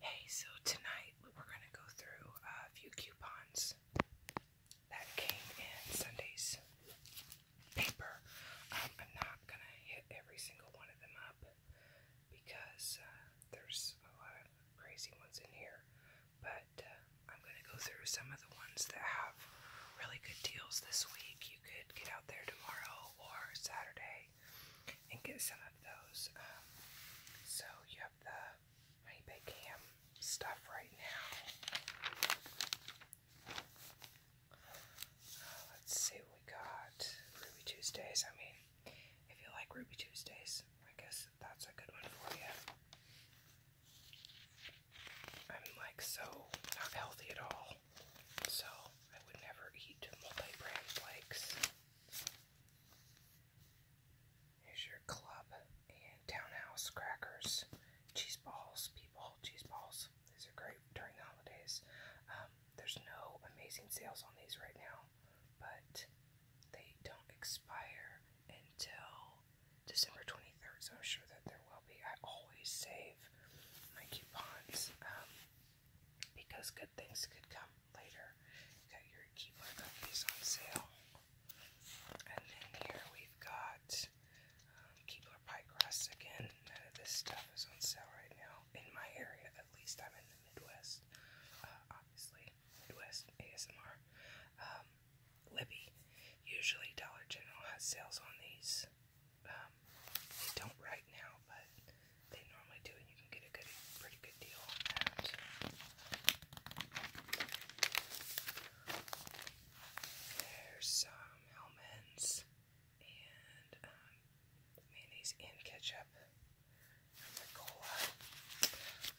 Hey, so tonight we're going to go through a few coupons that came in Sunday's paper. Um, I'm not going to hit every single one of them up because uh, there's a lot of crazy ones in here, but uh, I'm going to go through some of the ones that have really good deals this week. You could get out there tomorrow or Saturday and get some of those. Um, so you have the Honey Bake stuff right now. Uh, let's see what we got. Ruby Tuesdays. I mean, if you like Ruby Tuesdays, I guess that's a good one for you. I'm like so not healthy at all. So I would never eat multi-brand flakes. Here's your club and townhouse crackers, cheese balls, people, cheese balls. These are great during the holidays. Um, there's no amazing sales on these right now, but they don't expire until December 23rd, so I'm sure that there will be. I always save my coupons um, because good things could come later. Got your coupon on sale. And then here we've got um, pie crust again. None of this stuff is on sale right now in my area. At least I'm in the Midwest. Uh, obviously, Midwest ASMR. Um, Libby. Usually Dollar General has sales on these. Um, they don't right now, but they normally do, and you can get a good, pretty good deal There's some Hellman's and um, mayonnaise and ketchup. And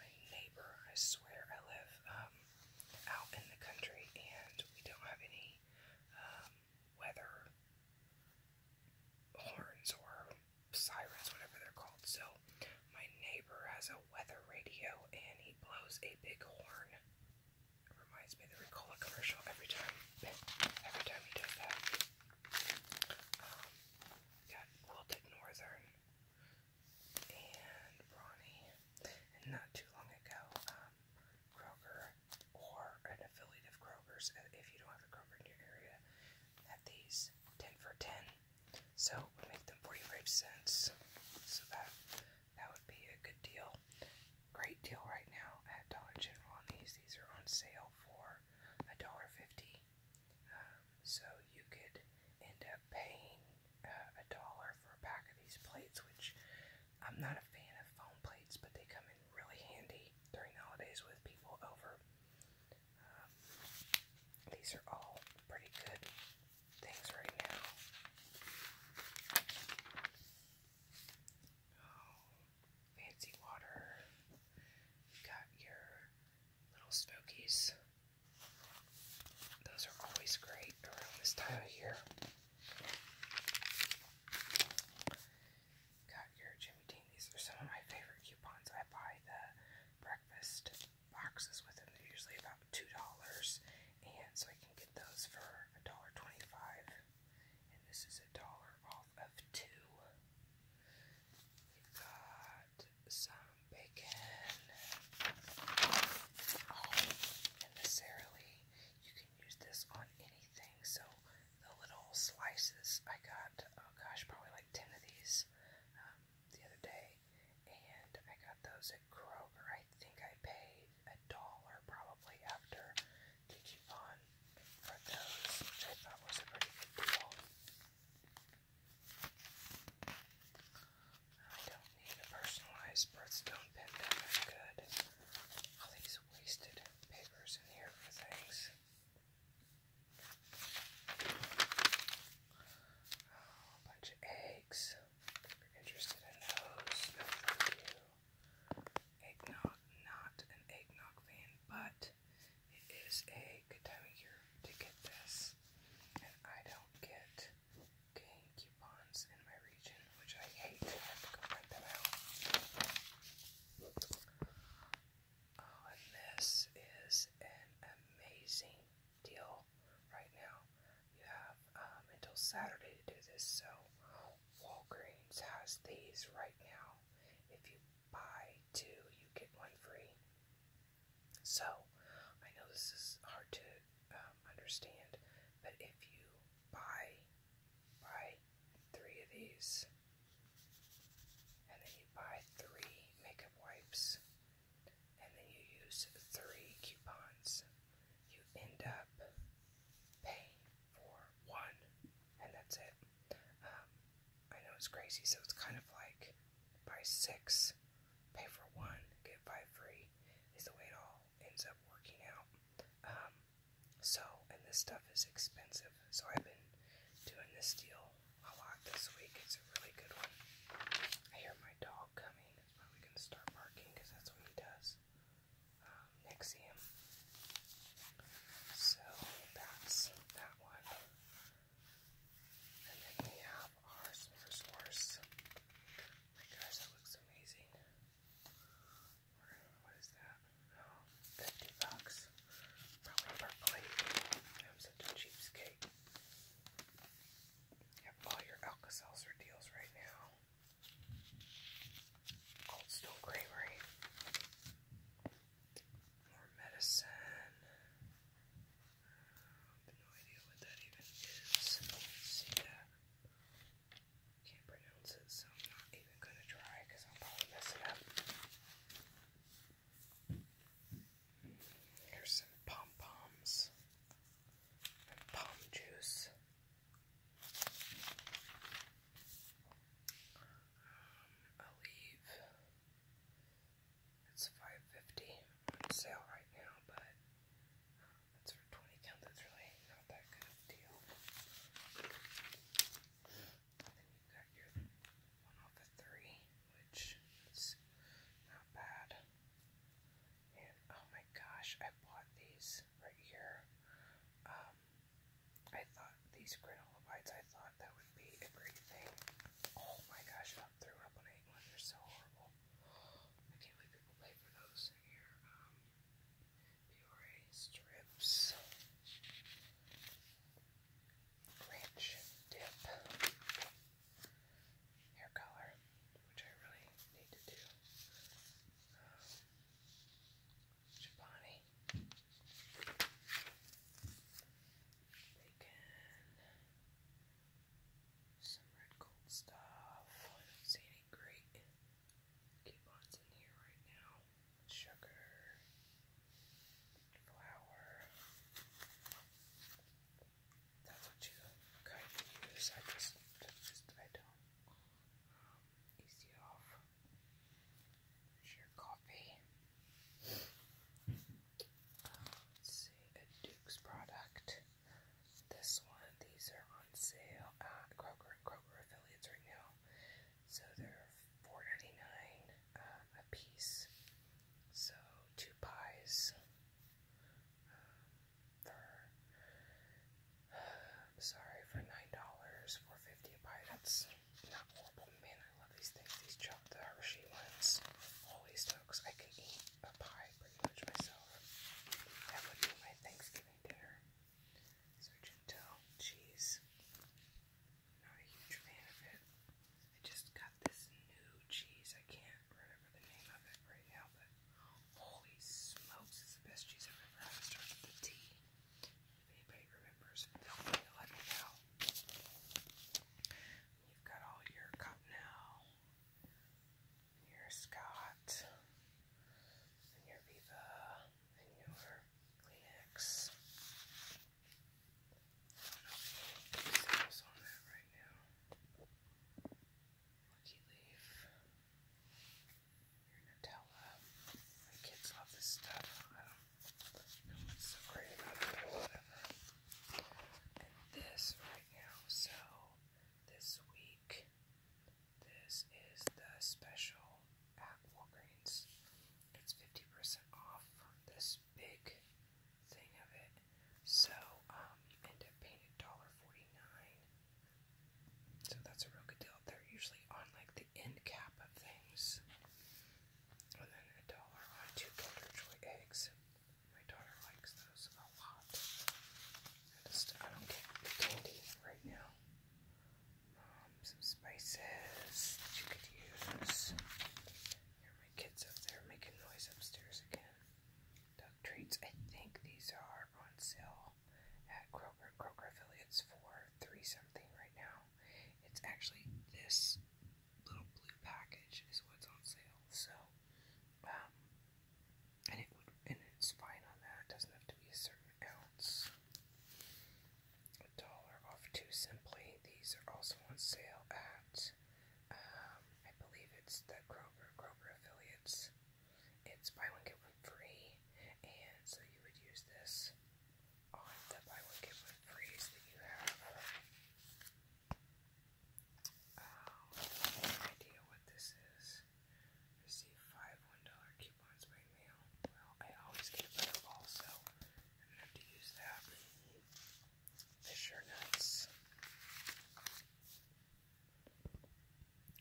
My neighbor, I swear, I live um, out in the country, and we don't have any um, weather horns or sirens, whatever they're called. So, my neighbor has a weather radio and he blows a big horn. It reminds me of the Ricola commercial every time, every time he does that. Um, got Quilted Northern and Brawny, and not too long ago, um, um, Kroger or an affiliate of Kroger's uh, if you don't have a Kroger in your area at these 10 for 10. So we make them 45 cents. So that that would be a good deal. Great deal right now at Dollar General on these. These are on sale for $1.50. Um, so you could end up paying uh, a dollar for a pack of these plates, which I'm not a fan of foam plates, but they come in really handy during the holidays with people over. Um, these are all pretty good things right now. Oh, fancy water. got your little smokies. Those are always great around this time of year. Got your Jimmy Dean. These are some of my favorite coupons. I buy the breakfast boxes with them. They're usually about two dollars, and so I can get those for a dollar twenty-five. And this is a dollar off of 2 got some bacon. necessarily, you can use this on anything. So the little slices I got, oh gosh, probably like ten of these um, the other day, and I got those at Kroger. I think I paid a dollar probably after the coupon for those, which I thought was a pretty good deal. I don't need a personalized birthstone pin that good. All these wasted papers in here for things. Oh, a bunch of eggs. If you're interested in those, no thank you. not an eggnog fan, but it is a good time of year to get this. I don't get coupons in my region, which I hate. I have to go print them out. Oh, and this is an amazing deal right now. You have um, until Saturday to do this, so Walgreens has these right now. If you buy two, you get one free. So, I know this is hard to um, understand, but if you buy buy three of these, and then you buy three makeup wipes, and then you use three coupons, you end up paying for one, and that's it. Um, I know it's crazy, so it's kind of like buy six pay for one, get five free is the way it all ends up working out. Um, so, and this stuff is expensive, so I've been doing this deal a lot this week. It's a really good one. I hear my dog coming. It's probably going to start barking because that's what he does. Um, next to him. So, that's that one. And then we have our s'more source. my gosh, that looks amazing. What is that? 50 bucks. Probably per I'm such a cheapskate. have all your Alka-Seltzer deals right now. Cold Stone more medicine. no idea what that even is. Can't pronounce it, so I'm not even gonna try because I'll probably mess it up. Here's some pom poms and palm juice. Um, a leaf. It's five fifty on sale right now, but um, that's for twenty count. That's really not that good of a deal. then you got your one off of three, which is not bad. And oh my gosh, I bought these right here. Um, I thought these granola bites, I thought that would be a great thing. Oh my gosh, I threw up on eating They're so horrible. I can't believe people pay for those here. Um, Peoria strips. Ranch dip. Hair color, which I really need to do. Um, Chobani. Bacon. Some red gold stuff. Oh, I don't see any great coupons in here right now. Sugar. Flour. That's what you kind of use. I just, I just, I don't um, off your copy. Um, let's see, a Duke's product. This one, these are on sale at Kroger and Kroger affiliates right now. So they are ninety nine um, a piece. So two pies um, for sorry for nine dollars, for fifty pie. Not horrible. Man, I love these things. These chopped Hershey ones. Holy smokes, I could eat a pie pretty much myself. That would be my Thanksgiving dinner. Sergento cheese. Not a huge fan of it. I just got this new cheese. I can't remember the name of it right now, but holy smokes, it's the best cheese I've ever had. It starts if anybody remembers, let me know. You've got all your cup now. Your Scott, your Viva, and your Kleenex. I don't know if you on that right now. Lucky Leaf your Nutella. My kids love this stuff. I do so great about this right now, so this week, this is the special at Walgreens. It's 50% off this big thing of it. So, um, you end up paying $1.49. So that's a real good deal. They're usually on like the end cap of things. And then a dollar on two Golden eggs. My daughter likes those a lot. I just I don't get candy right now. Um, some spices that you could use. my kids up there making noise upstairs again. Duck treats. I think these are on sale sale at Kroger, Kroger affiliates for three something right now. It's actually this little blue package is what's on sale. So, um, and it would, and it's fine on that. It doesn't have to be a certain ounce. A dollar off too simply. These are also on sale at, um, I believe it's the Kroger Kroger affiliates. It's buy one get one free, and so you would use this on the buy one get one free that you have. Um, idea what this is. Receive five one dollar coupons by mail. I always get a butterball, so I'm going have to use that. They're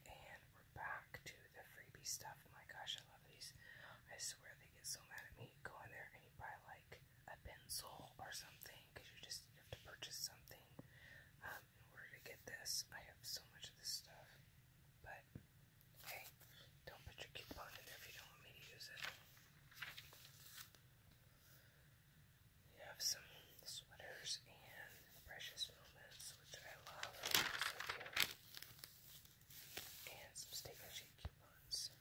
and we're back to the freebie stuff. Oh my gosh, I love these. I swear they get so mad at me. You go in there and you buy like a pencil or something because you just you have to purchase something um, in order to get this. I have so much of this stuff. But hey, don't put your coupon in if you don't want me to use it. You have some sweaters and precious moments, which I love. So And some steak coupons.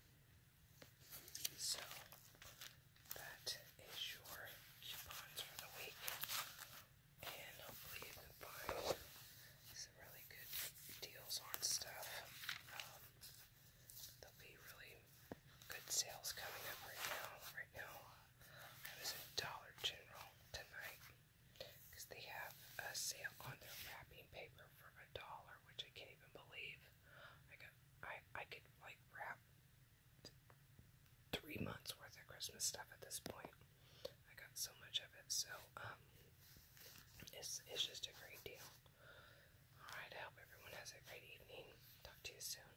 So that is your coupons for the week. And hopefully you can find some really good deals on stuff. Um, there'll be really good sales coming up right now. Right now, I was at Dollar General tonight because they have a sale on their wrapping paper for a dollar, which I can't even believe. I got I I could like wrap three months worth of Christmas stuff at this point. I got so much of it, so um, it's it's just a great deal. All right, I hope everyone has a great evening. Talk to you soon.